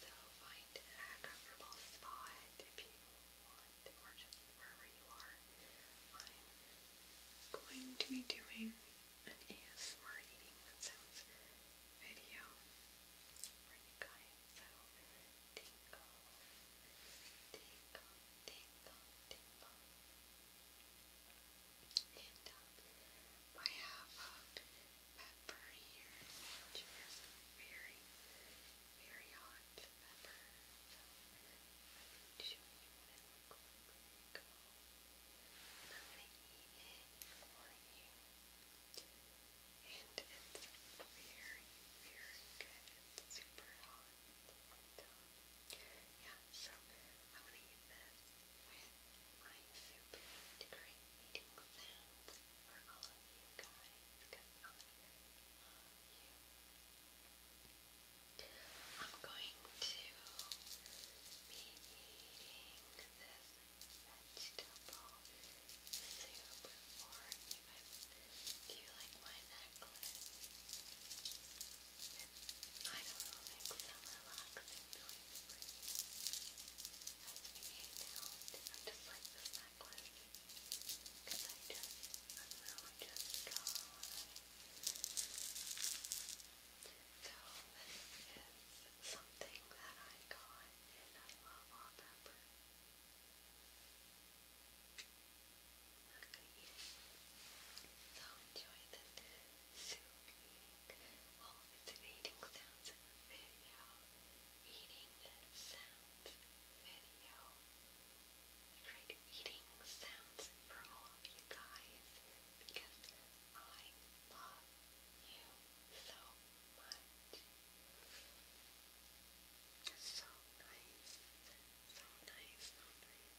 So find a comfortable spot if you want, or just wherever you are. I'm going to be doing an ASMR eating sounds video tingle, tingle, tingle, tingle and I have uh, pepper here, very, very hot pepper. I'm going to show you what it looks like. I'm going to eat it And it's very, very good. It's super hot. yeah, so I'm going to eat this. I'm super happy to create meeting for all of you guys because I am going to be eating this vegetable soup for you guys. Do you like my necklace? I don't know, it makes relaxing I just like this necklace because I just, I'm really just gone. So this something that I got in a love wallpaper. I'm not going So enjoy this soothing, alternating sounds in the video, eating sounds video. Tried eating sounds for all of you guys because I love you so much. So nice. So nice, so nice.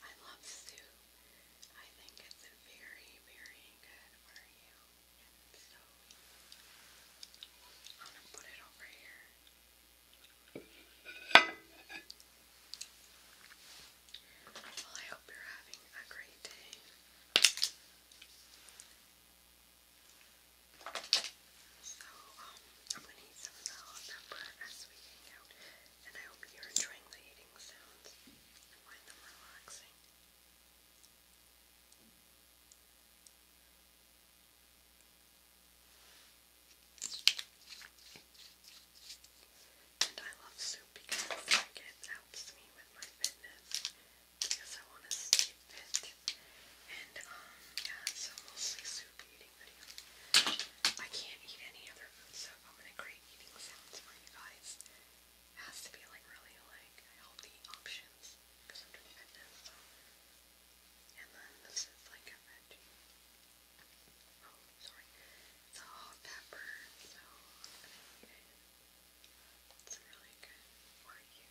I love soup. I think it's very, very good for you. So, I'm gonna put it over here. Well, I hope you're having a great day. So, um, i need some of the hot pepper as we hang and I hope you're enjoying the eating sounds and find them relaxing. And I love soup because it helps me with my fitness because I want to stay fit. And um, yeah, so mostly soup eating video. I can't eat any other food so I'm gonna create eating sounds for you guys. has to be like really like healthy options because I'm doing fitness. And then this is like a veggie. Oh, sorry. It's a hot pepper, so It's really good for you.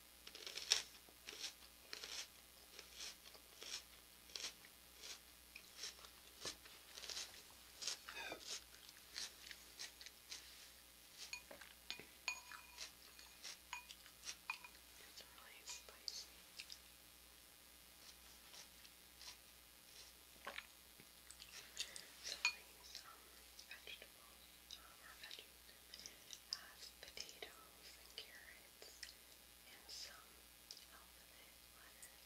It's really spicy. So these um, vegetables, um, or veggies, has potatoes and carrots and some alphabet letters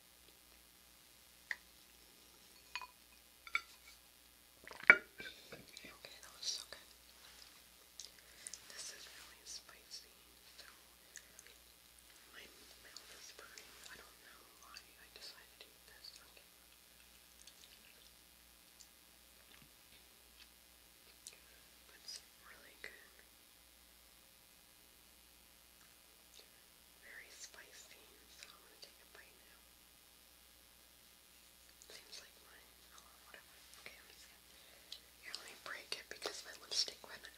Okay, that was so good. This is really spicy, so my mouth is burning. I don't know why I decided to eat this. Okay. That's really good very spicy, so I'm to take a bite now. Seems like mine. Oh, whatever. Okay, i let me break it because my lipstick went on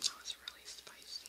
that was really spicy.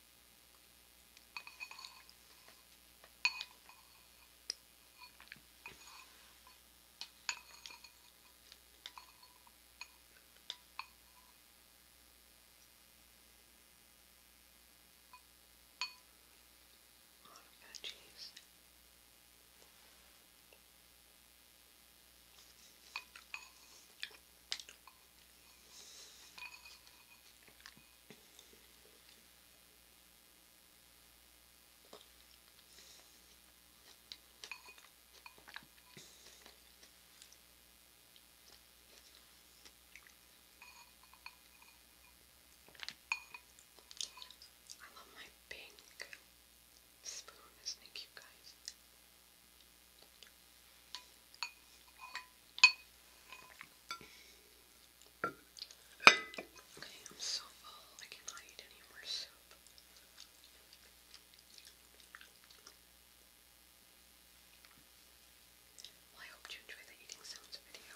A lot of veggies. I love my pink spoon, isn't it cute, guys? Okay, I'm so full. I cannot eat any more soup. I hope you enjoy the eating sounds video.